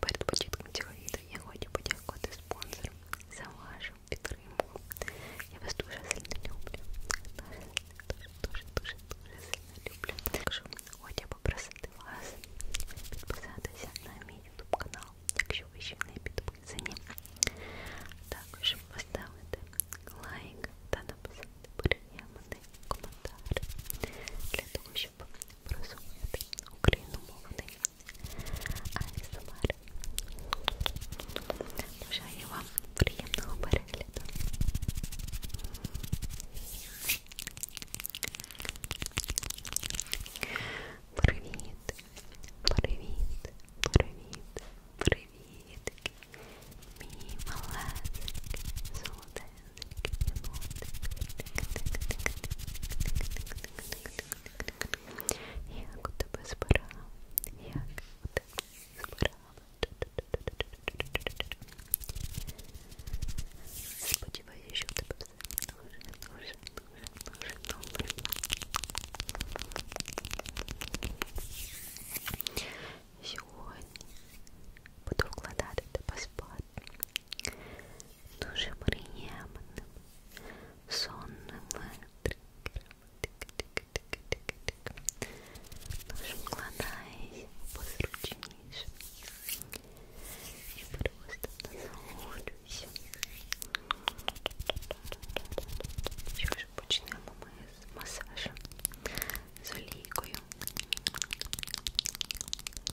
Перед початком цього відео я хочу подякувати спонсорам за вашу підтримку. Я вас дуже сильно люблю. Дуже, дуже, дуже, дуже сильно люблю. Також хочу попросити вас підписатися на мій YouTube канал, якщо ви ще не підписані. Також поставити лайк та написати приємний коментар для того, щоб просувати україномовний АСМР. Бажаю вам приємного перегляду. Привіт, привіт, привіт, привіт, мій малесик, золотий. Як у тебе збирала? Як у тебе збирала? Сподіваюся, що у тебе все дуже, дуже, дуже, дуже добре. Сьогодні буду вкладати тебе спати дуже приємним, сонним тригером. Тож вкладайся позручніше і просто насолоджуйся. Що ж почнемо ми з масажу з олійкою.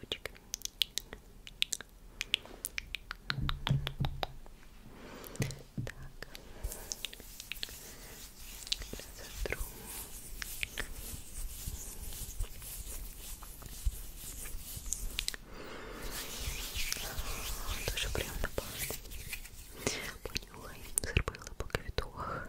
ручками. Так, затру. Дуже приємно пахне. Понюхай, зробила по квітух.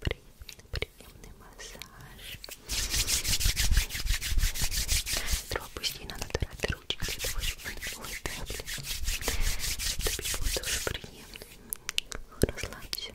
приемный массаж. Тропусти надо тратить ручки, это очень Ой, да, блин. Это тоже приемный. Расслабься.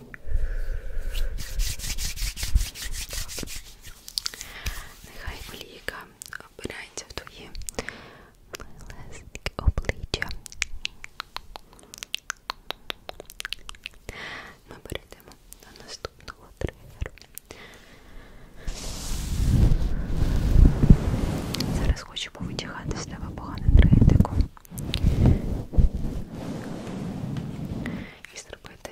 Нехай олійка обирається в твої милесенькі обличчя. Ми перейдемо до наступного тригеру. Зараз хочу повитягати з тебе погану енергетику. І зробити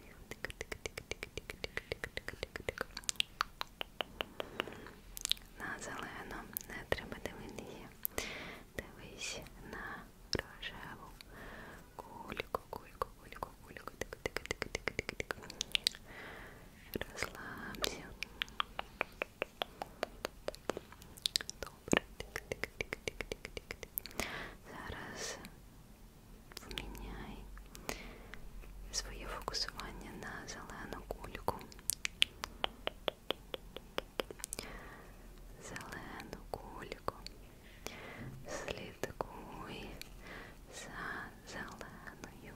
На зелену не треба дивитися. Дивись на рожеву кульку, кульку, кульку, кульку. Тик, тик, тик, тик, тик, тик. Розслабся добре. Тик -тик -тик -тик -тик -тик. Зараз зміняй своє фокусування на зелену кульку. Зелену кульку. Слідкуй за зеленою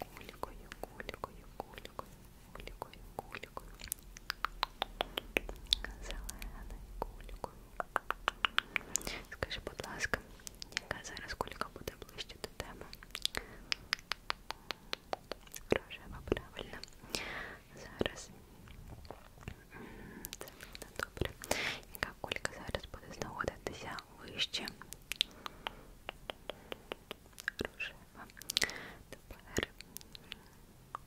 кулькою, кулькою, кулькою, кулькою, кулькою. Зеленою кулькою. Скажи, будь ласка, яка зараз кулька буде ближче до теми? Рожева, правильно. Зараз. Це буде добре. Яка кулька зараз буде знаходитися вище? Рожева. Тепер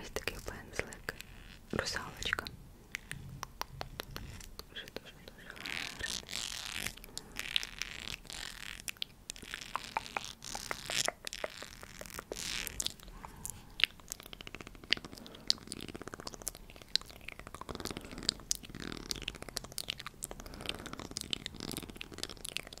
Ось такий пензлик. Русалочка. Дуже дуже дуже гарний.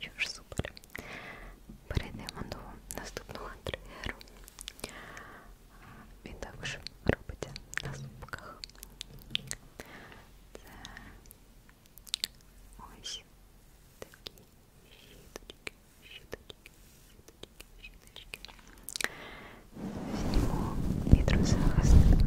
Що ж, супер. Перейдемо до наступного тригеру. Він а, також робиться на зубках. Це ось такі щіточки щеточки, щеточки, щеточки всего Петрозаводска. Так.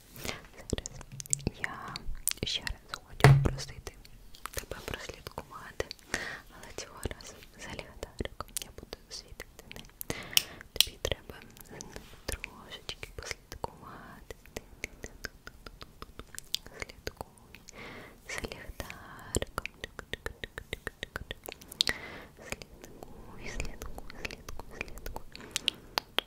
Зараз я ще типа раз хочу просити тебе прослідкувати, але цього разу за ліхтариком я буду світити не. Тобі треба трошечки послідкувати. Слідкуй за ліхтариком. Слідкуй, слідкуй, слідкуй, слідкуй.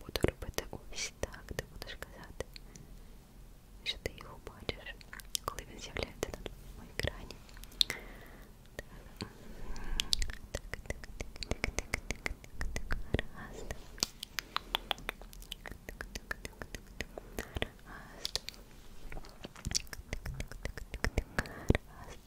буду робити ось так, ти будеш казати, що ти його бачиш, коли він з'являється на твоєму екрані. Так, так, так, так, так, так, так, так, раз. Так, так, так, так, так, раз. Так, так, так, так, так, раз.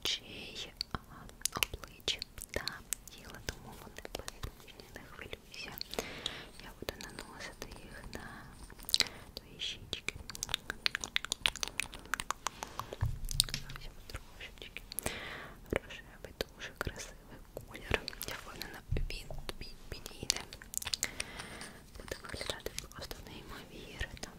очей, а, обличчя та тіла, тому вони безпечні, не хвилюйся. Я буду наносити їх на твої щічки. Зовсім трошечки. Рожевий дуже красивий колір. Я впевнена, він тобі підійде. Буде виглядати просто неймовірно распределила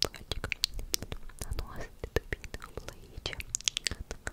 платик на нос, для дубина, облаича, на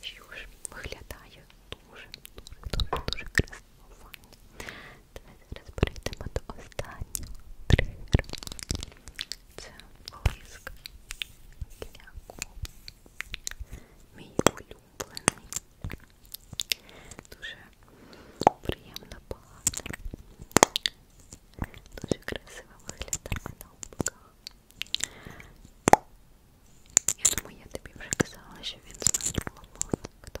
Що ж виглядає дуже, дуже, дуже, дуже красиво. Давайте зараз перейдемо до останнього тригеру. Це блиск кляку. Мій улюблений. Дуже приємно пахне. Дуже красиво виглядає на обках. Я думаю, я тобі вже казала, що він з нас було мало. Хто?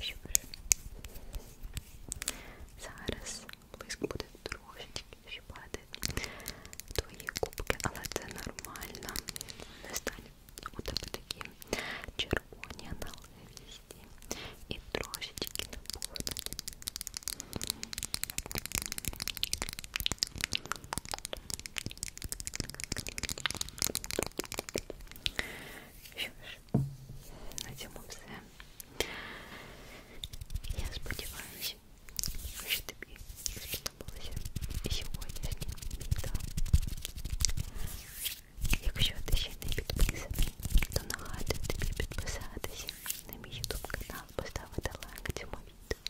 Ще Зараз блиск буде трошечки щипати твої кубки, але це нормально. Не стане у тебе такі червоні наливісті і трошечки напухнуть. Ось Що ж, на цьому все. Я сподіваюся, що тобі сподобалося сьогоднішнє відео. Якщо ти ще не підписаний, то нагадую тобі підписатися на мій YouTube канал, поставити лайк цьому відео.